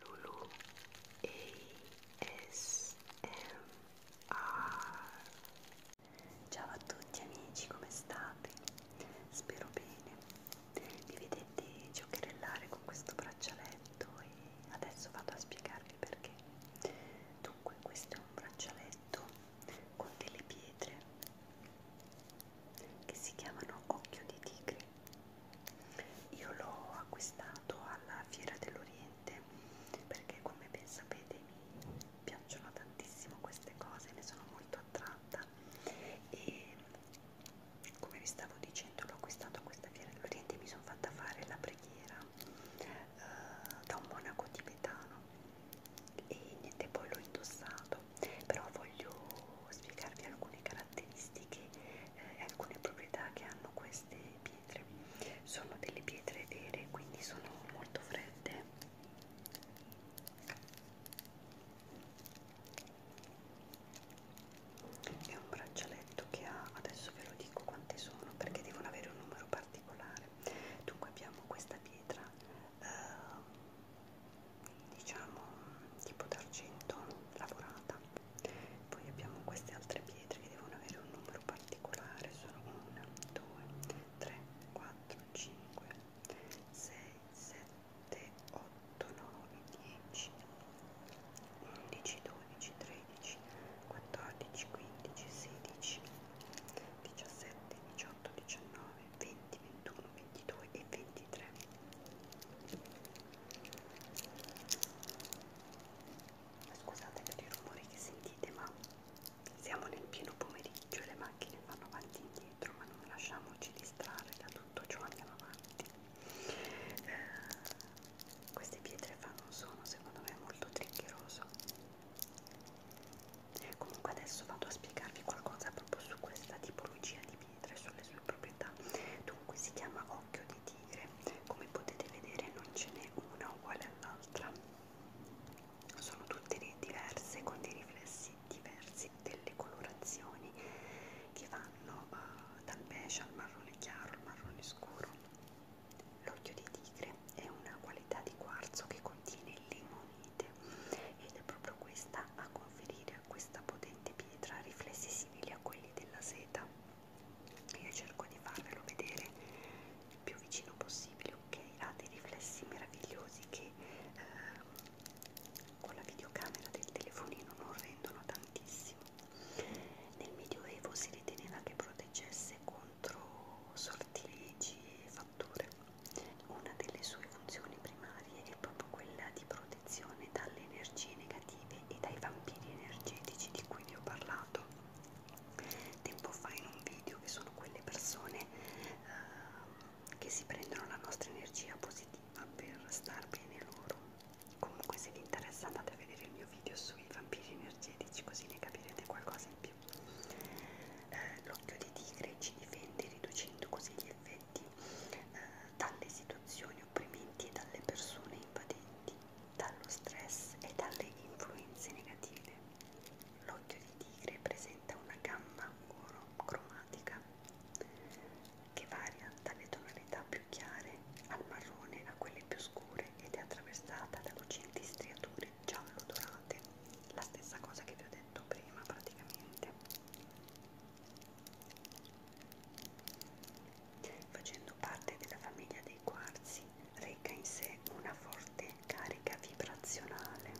Lulu ASMR Ciao a tutti amici, come state? Spero bene. Mi vedete giocherellare con questo braccialetto e adesso vado a spiegarvi perché. Dunque, questo è un braccialetto con delle pietre che si chiamano occhio di tigre io l'ho acquistato alla Fiera dell'Oriente perché come ben sapete mi piacciono tantissimo queste cose, ne sono molto attratta e come vi stavo dicendo l'ho acquistato a questa Fiera dell'Oriente e mi sono fatta fare la preghiera eh, da un monaco tibetano e niente poi l'ho indossato però voglio spiegarvi alcune caratteristiche caratteristiche e eh, alcune proprietà che hanno queste pietre. Sono delle pietre vere, quindi sono molto fredde. È un braccialetto che ha, adesso ve lo dico quante sono perché devono avere un numero particolare. Dunque abbiamo questa pietra. Eh, diciamo tipo d'argento lavorata poi abbiamo queste altre pietre che devono avere un numero particolare sono 1, 2, 3, 4, 5 6, 7, 8, 9, 10 11, 12, 13 14, 15, 16 17, 18, 19, 20, 21, 22 e 23 Scusate per i rumori che sentite, ma siamo nel pieno pomeriggio e le macchine vanno avanti e indietro, ma non lasciamoci distrarre da tutto ciò, andiamo avanti. Eh, queste pietre fanno un suono, secondo me, molto triccheroso. Comunque adesso vado a spiegarvi qualcosa proprio su questa tipologia di pietra scendere sulle sue proprietà. Dunque si chiama occhio di tigre. Come potete vedere non ce n'è una uguale all'altra. Sono tutte diverse con dei riflessi diversi delle colorazioni che vanno uh, dal beige al marrone chiaro al marrone scuro. L'occhio di tigre è una qualità di quarzo che contiene limonite ed è proprio questa a conferire a questa potente pietra riflessi simili a quelli della seta io cerco di farvelo vedere il più vicino possibile ok ha dei riflessi meravigliosi che eh, con la videocamera del telefonino non rendono tantissimo nel medioevo si riteneva che proteggesse contro sortilegi e fatture una delle sue funzioni primarie è proprio quella di proteggere protezione dalle energie negative e dai vampiri energetici di cui vi ho parlato tempo fa in un video che sono quelle persone uh, che si prendono la nostra energia positiva per star bene loro comunque se vi interessa andate a vedere il mio video sui vampiri energetici così ne capirete qualcosa in più uh, l'occhio di tigre ci difende riducendo così gli effetti dipendenti eh, dalle situazioni opprimenti e dalle persone invadenti, dallo stress e dalle influenze negative. L'occhio di tigre presenta una gamma cromatica che varia dalle tonalità più chiare al marrone a quelle più scure ed è attraversata da lucenti striature giallo dorate, la stessa cosa che vi ho detto prima praticamente. Facendo parte della famiglia dei quarzi, reca in sé una forte carica vibrazionale.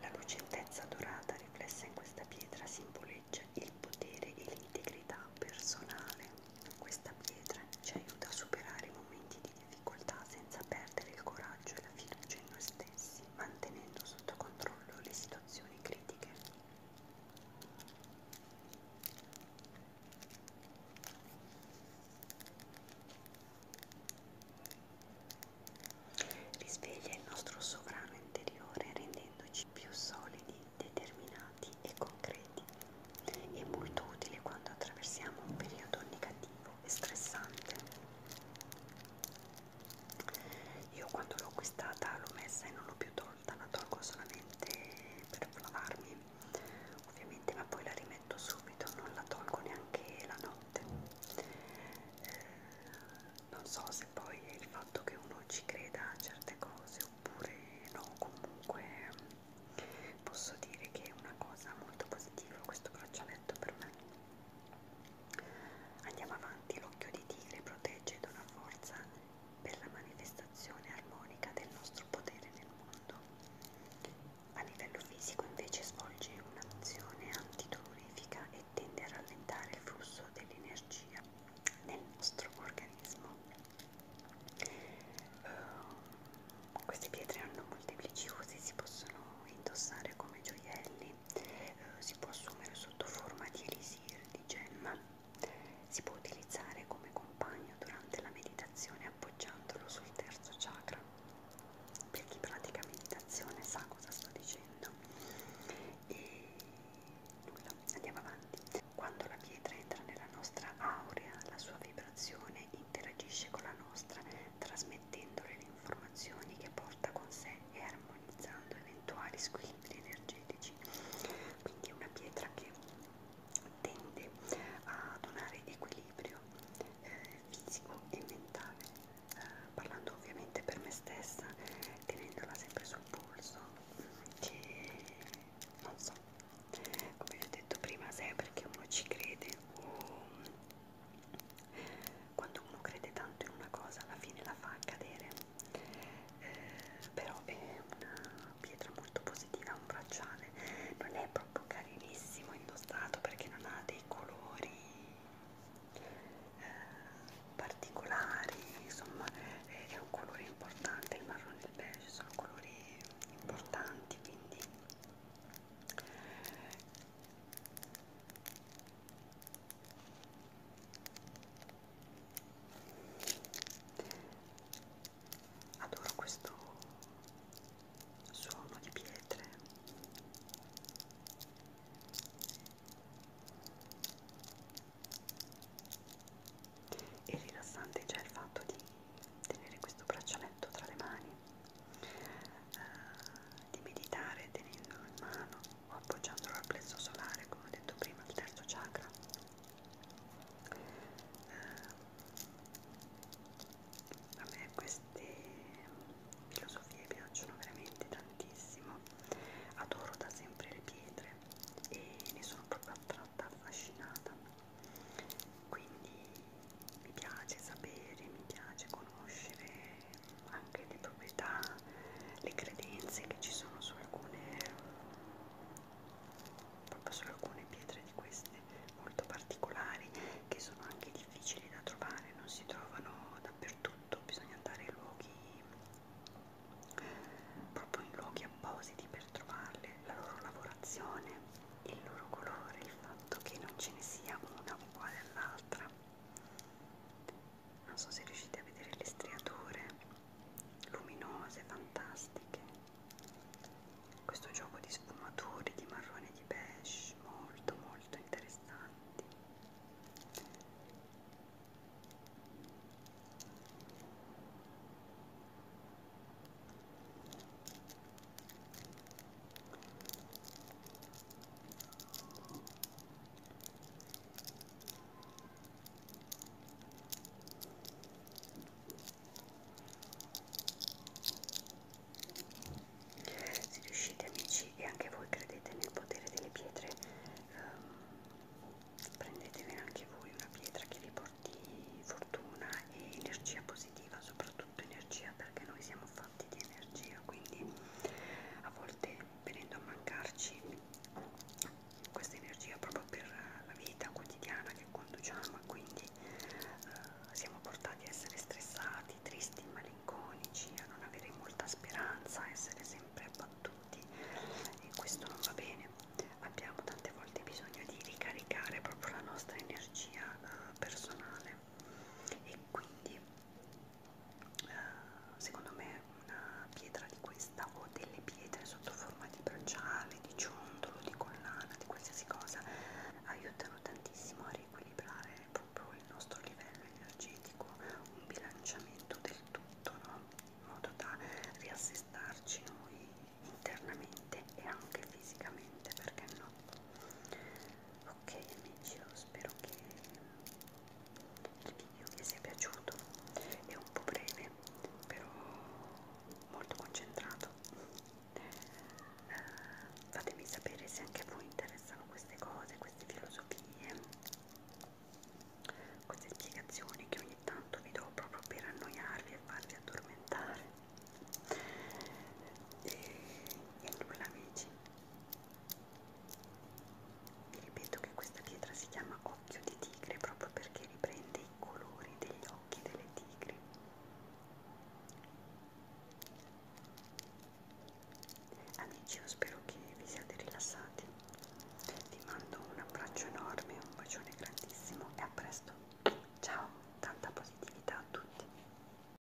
La lucentezza dorata riflessa in questa pietra simboleggia il potere e l'integrità personale. Questa pietra ci aiuta a superare i momenti di difficoltà senza perdere il coraggio e la fiducia in noi stessi, mantenendo sotto controllo le situazioni situazioni critiche. Risveglia il nostro sovrano interiore rendendoci più solidi, determinati e concreti. È molto utile quando attraversiamo un periodo negativo e stressante. Io quando l'ho acquistata l'ho messa e non l'ho più tolta, la tolgo solamente per lavarmi, ovviamente, ma poi la rimetto subito, non la tolgo neanche la notte. Eh, non so se poi è il fatto che uno ci creda a certe cose oppure no, comunque posso dire che è una cosa molto positiva questo braccialetto per me Andiamo avanti, l'occhio di tigre protegge ed una forza per la manifestazione armonica del nostro potere nel mondo. A livello fisico invece svolge un'azione antidolorifica e tende a rallentare il flusso dell'energia nel nostro organismo. Uh, queste pietre hanno molteplici usi, si possono indossare come gioielli eh, si può assumere sotto forma di elisir, di gemma, si può utilizzare come compagno durante la meditazione appoggiandolo sul terzo chakra. Per chi pratica meditazione sa cosa sto dicendo. E nulla, andiamo avanti. Quando la pietra entra nella nostra aurea, la sua vibrazione interagisce con la nostra, trasmettendo trasmettendole le informazioni che porta con sé e armonizzando eventuali squilibri energetici. Quindi è una pietra che tende a donare equilibrio eh, fisico e mentale, eh, parlando ovviamente per me stessa, tenendola sempre sul polso, mm, che non so, come vi ho detto prima, se è perché uno ci crede o quando uno crede tanto in una cosa alla fine la fa cadere eh, però è una pietra molto positiva un bracciale non è proprio carinissimo indossato perché non ha dei colori eh, particolari insomma è un colore importante il marrone e il beige sono colori importanti quindi Adoro questo suono di pietre. E rilassante già il fatto di tenere questo braccialetto tra le mani, eh, di meditare tenendolo in mano appoggiandolo al plesso solare, come ho detto prima, il terzo chakra. Eh, a me queste filosofie piacciono veramente tantissimo, adoro da sempre le pietre e ne sono proprio attratta, affascinata. Quindi mi piace sapere, mi piace conoscere anche le proprietà, le credenze che ci sono su alcune, proprio su alcune pietre di queste molto particolari che sono anche difficili da trovare, non si trovano dappertutto, bisogna andare in luoghi proprio in luoghi appositi per trovarle, la loro lavorazione, il loro colore, il fatto che non ce ne sia una uguale all'altra non so se riuscite a vedere le striature luminose, fantastiche questo gioco di sfumature di marrone e di beige molto molto interessanti se riuscite amici e anche voi credete nel potere delle pietre, ehm, prendetevene anche voi una pietra che vi porti fortuna e energia positiva soprattutto tutto energia perché noi siamo fatti di energia quindi a volte venendo a mancarci questa energia proprio per la vita quotidiana che conduciamo e quindi eh, siamo portati a essere stressati, tristi, malinconici, a non avere molta speranza, a essere sempre abbattuti e questo non va bene. Abbiamo tante volte bisogno di ricaricare proprio la nostra energia eh, personale e quindi secondo me una pietra di questa o delle pietre sotto forma di bracciale, di ciondolo, di collana, di qualsiasi cosa aiutano tantissimo a riequilibrare proprio il nostro livello energetico, un bilanciamento del tutto, no? in modo da riassestarci noi internamente e anche fisicamente, perché no? ok amici io spero che il video vi sia piaciuto è un po' breve però molto concentrato uh, fatemi sapere se anche a voi interessano queste cose queste filosofie queste spiegazioni che ogni tanto vi do proprio per annoiarvi e farvi addormentare e, e nulla amici vi ripeto che questa pietra si chiama occhio di tigre proprio perché riprende i colori degli occhi delle tigri amici io spero che vi siate rilassati vi mando un abbraccio enorme un bacione grandissimo e a presto ciao tanta positività a tutti